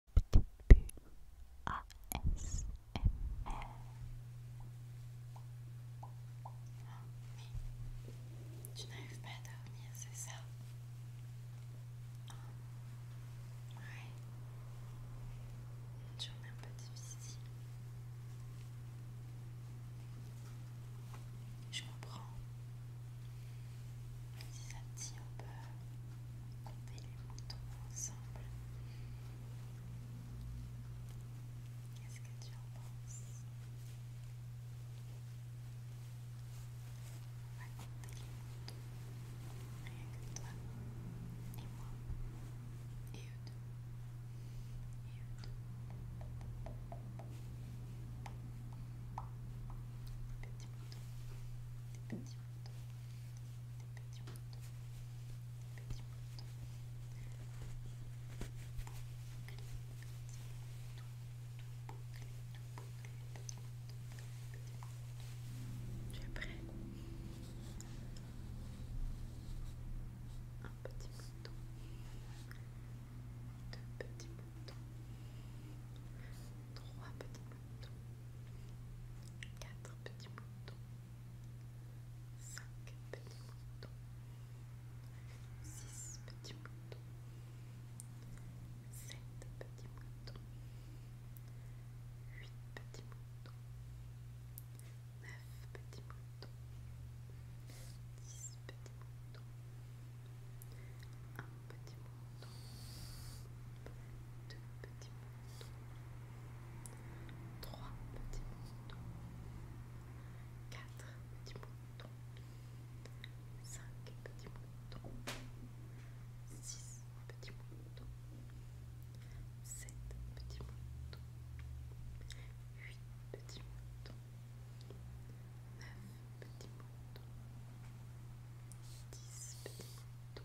tu n'arrives pas à dormir, c'est ça Oui. Ouais. Une journée un peu difficile. Je comprends. Si ça te dit, on peut Comptez les moutons ensemble. Qu'est-ce que tu en penses On va compter les moutons. Rien que toi et moi. Et eux deux. Et eux deux. Des petits moutons. Des petits petit petit prêt Un petit mouton, deux petits moutons, trois petits quatre petits moutons, cinq petits moutons, six petits moutons, sept petits moutons, huit petits moutons, neuf petits moutons, dix petits moutons, petit mouton deux petits moutons, trois petits moutons, quatre petits moutons, cinq petits moutons, six petits moutons, sept petits moutons, huit petits moutons, neuf petits moutons, dix petits moutons,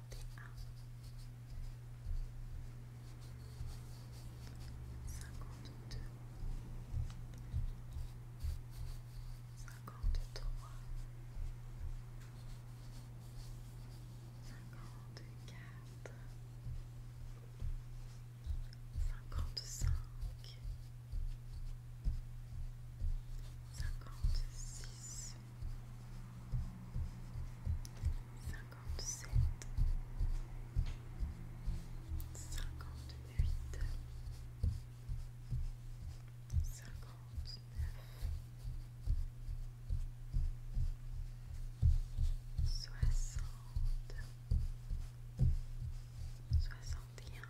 cinquante-deux cinquante-trois cinquante-quatre cinquante-cinq cinquante-sept, huit cinquante-neuf, soixante, soixante-et-un, soixante-deux.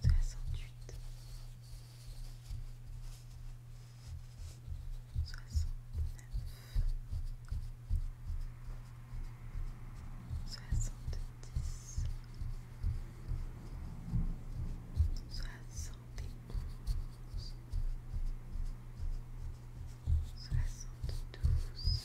soixante-huit, soixante-neuf, soixante-dix, soixante douze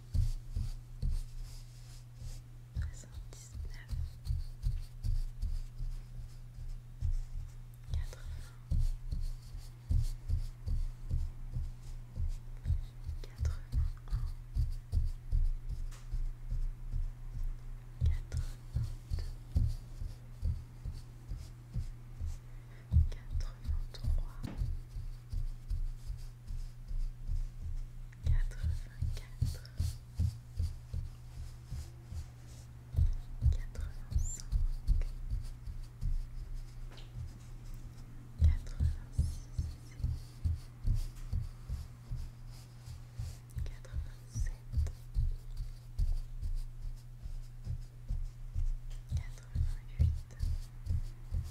quatre-vingt-un vingt 81 quatre quatre-vingt-trois quatre-vingt-quatre, quatre-vingt-cinq, quatre-vingt-six, quatre-vingt-sept,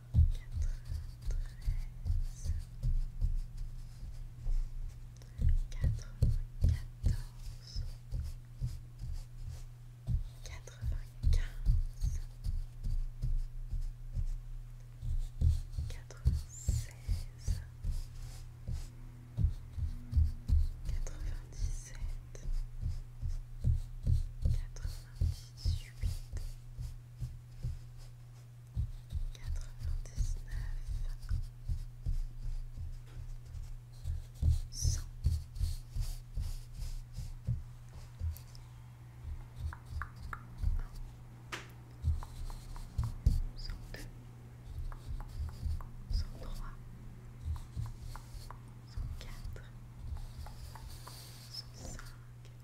quatre vingt quatre quatre-quatorze quatre-vingt-quinze quatre vingt Quatre-vingt-dix-neuf Cent Cent-deux Cent-trois Cent-quatre Cent-cinq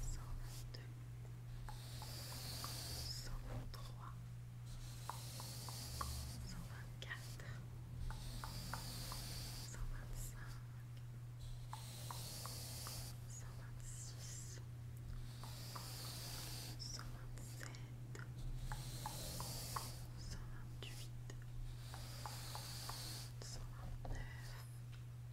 cent vingt-deux, cent vingt-trois, cent vingt-quatre, cent vingt-cinq, cent vingt-six, cent vingt-sept, cent vingt-huit, cent vingt-neuf, cent vingt-dix, cent vingt-un, cent vingt-deux, cent vingt-trois, cent vingt-quatre, cent vingt-cinq, cent vingt-six, cent vingt-sept, cent vingt-huit, cent vingt-neuf, cent vingt trois cent vingt quatre cent vingt cinq cent vingt six cent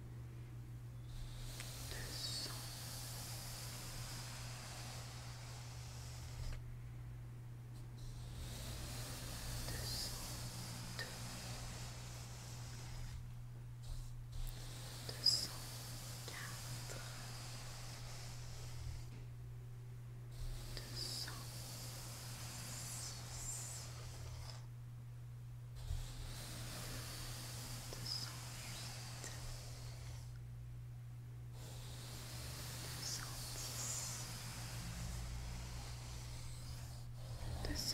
206 213 214